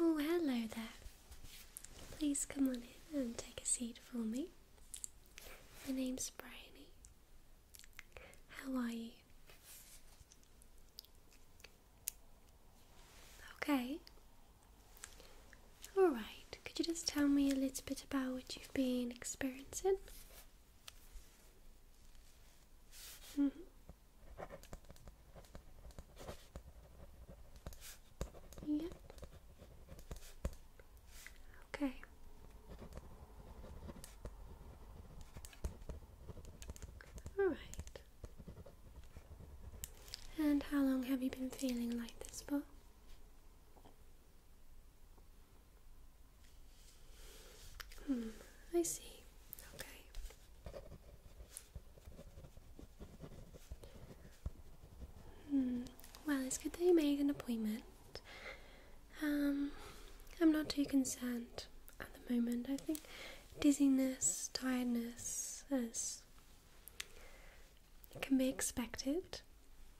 Oh, hello there. Please come on in and take a seat for me. My name's Bryony. How are you? Okay. All right. Could you just tell me a little bit about what you've been experiencing? Mm -hmm. Yep. Okay. All right. And how long have you been feeling like this for? Hmm, I see. Okay. Hmm. Well, it's good that you made an appointment. Um, I'm not too concerned at the moment. I think dizziness, tiredness, as it can be expected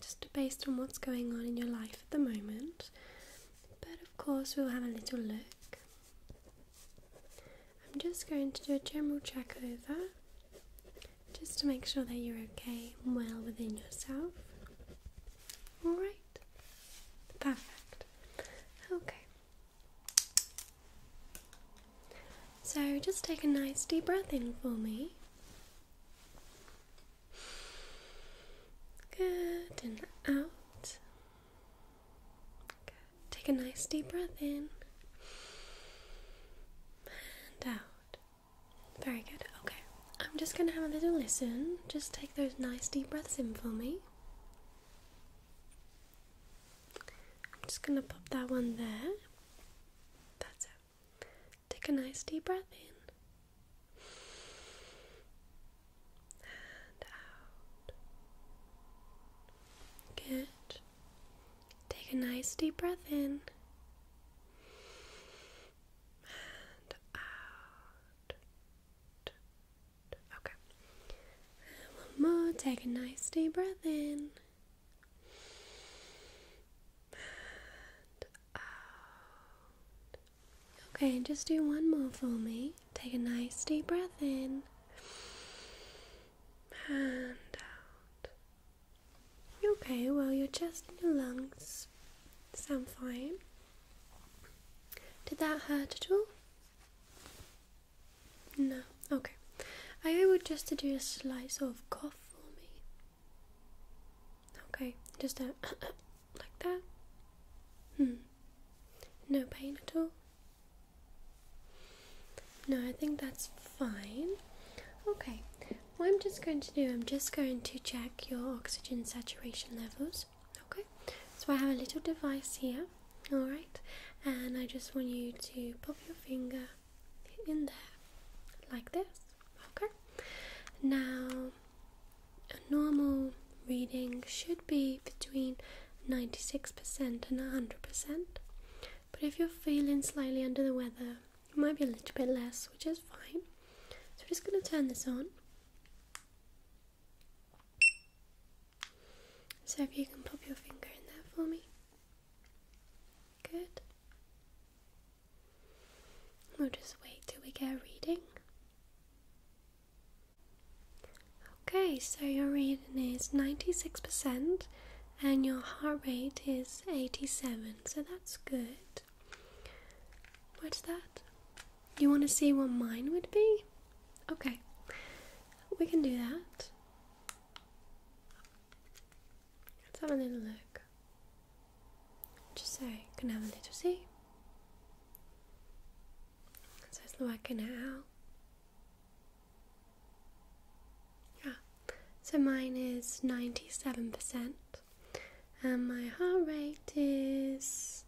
just based on what's going on in your life at the moment, but of course, we'll have a little look. I'm just going to do a general check over just to make sure that you're okay well within yourself. Alright, perfect. Okay, so just take a nice deep breath in for me. Good, and out. Take a nice deep breath in and out. Very good. Okay. I'm just going to have a little listen. Just take those nice deep breaths in for me. I'm just going to pop that one there. That's it. Take a nice deep breath in. And out. Good. Take a nice deep breath in. And out. Okay. one more. Take a nice deep breath in. And Okay, just do one more for me. Take a nice deep breath in. And out. Okay, well, your chest and your lungs sound fine. Did that hurt at all? No, okay. I would just do a slice of cough for me. Okay, just a like that. Hmm. No pain at all. No, I think that's fine. Okay, what I'm just going to do, I'm just going to check your oxygen saturation levels. Okay, so I have a little device here alright? And I just want you to pop your finger in there like this, okay? Now, a normal reading should be between 96% and 100%, but if you're feeling slightly under the weather, it might be a little bit less, which is fine. So, we're just going to turn this on. So if you can pop your finger in there for me. Good. We'll just wait till we get a reading. Okay, so your reading is 96% and your heart rate is 87, so that's good. What's that? You want to see what mine would be? Okay. We can do that. Let's have a little look. Just say, you can have a little see. So it's working now. Yeah. So mine is ninety-seven percent, and my heart rate is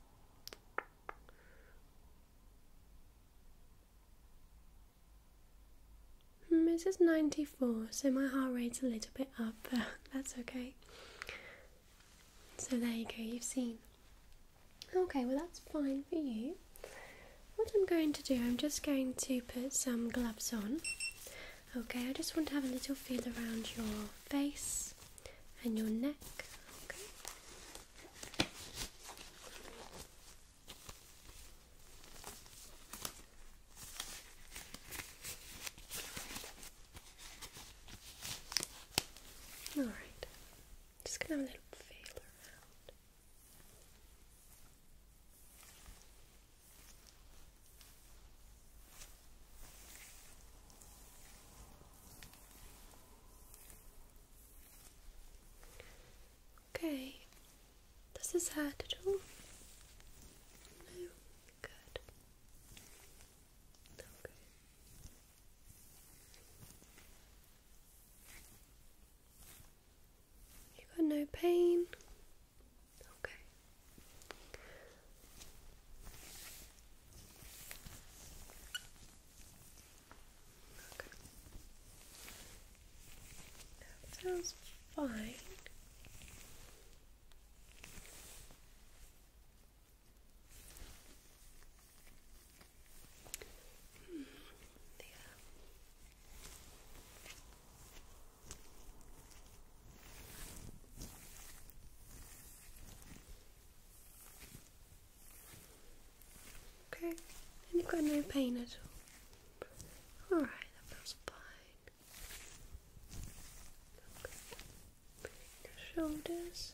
Hmm, this is 94, so my heart rate's a little bit up, but that's okay. So there you go, you've seen. Okay, well, that's fine for you. What I'm going to do, I'm just going to put some gloves on. Okay, I just want to have a little feel around your face and your neck. Okay, all right, just gonna have a little feel around. Okay. Does this hurt at all? No? Good. Okay. You got no pain? Okay. That sounds fine. Hmm, yeah. Okay, and you've got no pain at all. Alright, that feels fine. Your shoulders.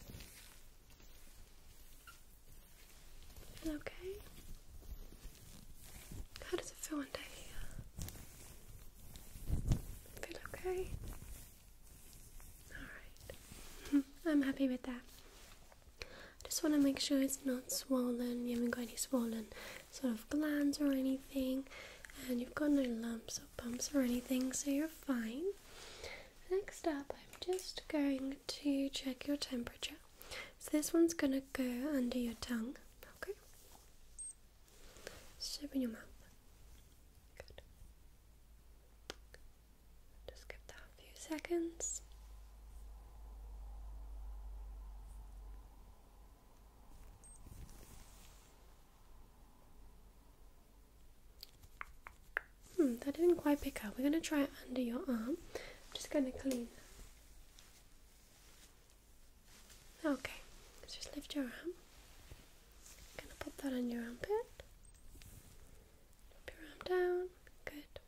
Feel okay? How does it feel under here? Feel okay? Alright. I'm happy with that. I just want to make sure it's not swollen, you haven't got any swollen sort of glands or anything, and you've got no lumps or bumps or anything, so you're fine. Next up, I'm just going to check your temperature. So this one's going to go under your tongue, okay? open your mouth. Good. Just give that a few seconds. Hmm, that didn't quite pick up. We're going to try it under your arm. I'm just going to clean Okay, just lift your arm. going to pop that on your armpit. Up your arm down. Good.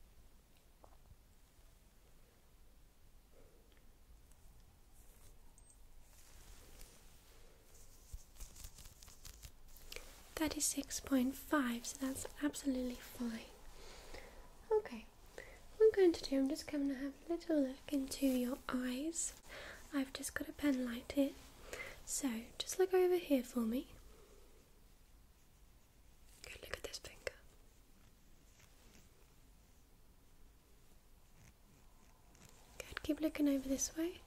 Thirty-six point five, so that's absolutely fine. Okay, what I'm going to do, I'm just going to have a little look into your eyes. I've just got a penlight here, so just look over here for me. look at this finger. Good, keep looking over this way.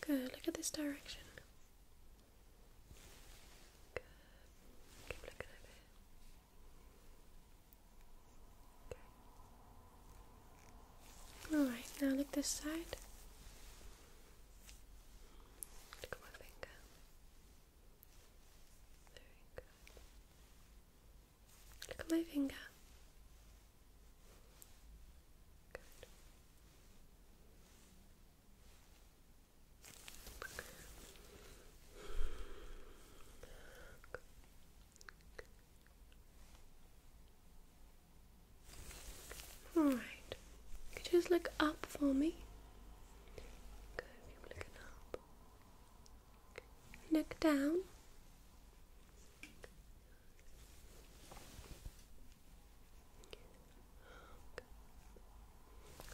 Good, look at this direction. Good. Keep looking over here. Okay. Alright, now look this side. Look at my finger. Very good. Look at my finger. Good. Alright. just look up for me? Good, keep looking up neck down.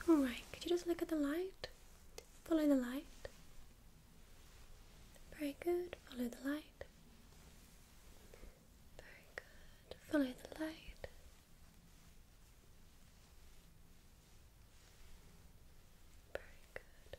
Alright, could you just look at the light? Follow the light. Very good, follow the light. Very good, follow the light. Very good.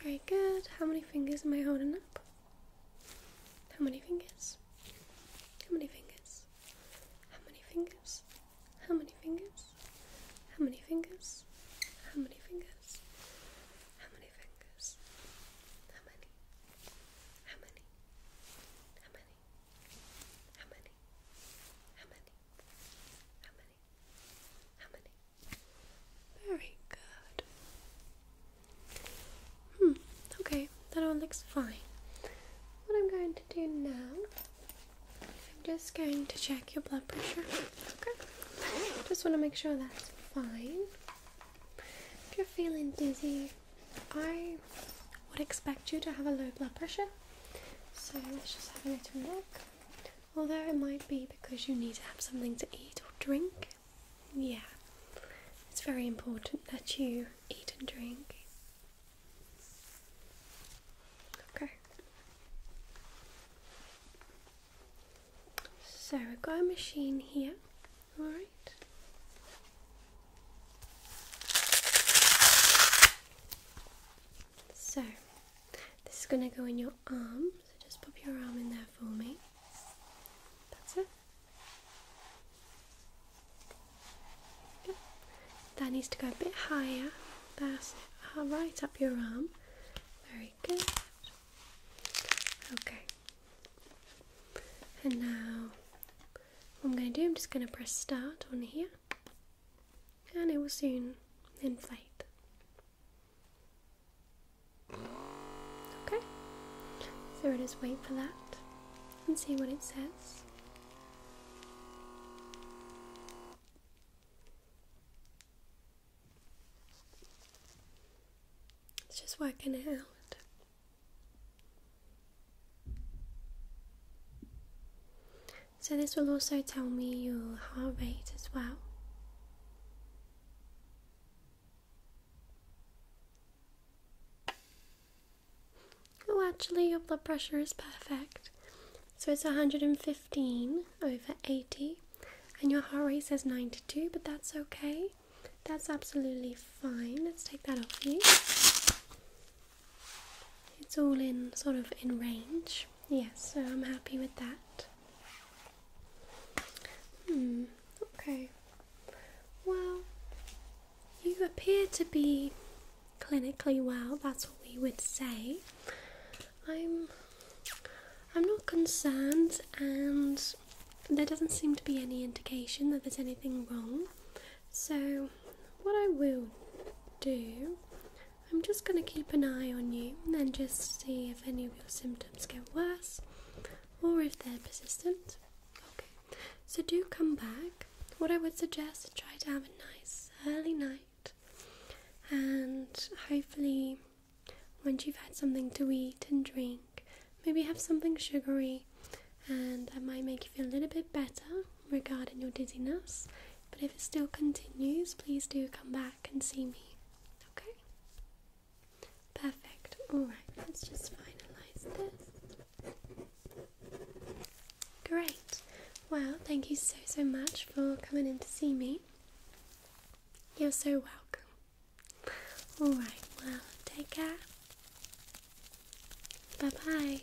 Very good. How many fingers am I holding up? How many fingers? How many fingers? How many fingers? How many fingers? How many fingers? How many fingers? How many? How many? How many? How many? How many? How many? How many? Very good. Hmm, okay, that all looks fine. What I'm going to do now, I'm just going to check your blood pressure. Okay? Just want to make sure that's fine. If you're feeling dizzy, I would expect you to have a low blood pressure. So let's just have a little look although it might be because you need to have something to eat or drink. Yeah, it's very important that you eat and drink. Okay. So we've got a machine here, alright. So this is going to go in your arm, so just pop your arm in there for me. That's it. That needs to go a bit higher. That's uh, Right up your arm. Very good. Okay. And now, what I'm going to do, I'm just going to press start on here, and it will soon inflate. Okay, so we'll just wait for that and see what it says. It's just working out. So, this will also tell me your heart rate as well. Oh, actually, your blood pressure is perfect. So, it's 115 over 80, and your heart rate says 92, but that's okay. That's absolutely fine. Let's take that off you. It's all in sort of in range. Yes, so I'm happy with that. Hmm, okay. Well, you appear to be clinically well, that's what we would say. I'm I'm not concerned and there doesn't seem to be any indication that there's anything wrong. So what I will do I'm just going to keep an eye on you and just see if any of your symptoms get worse or if they're persistent. Okay, so do come back. What I would suggest, is try to have a nice early night and hopefully, once you've had something to eat and drink, maybe have something sugary and that might make you feel a little bit better regarding your dizziness, but if it still continues, please do come back and see me. Okay? Perfect. Alright, let's just finalize this. Great. Well, thank you so, so much for coming in to see me. You're so welcome. Alright, well, take care. Bye bye.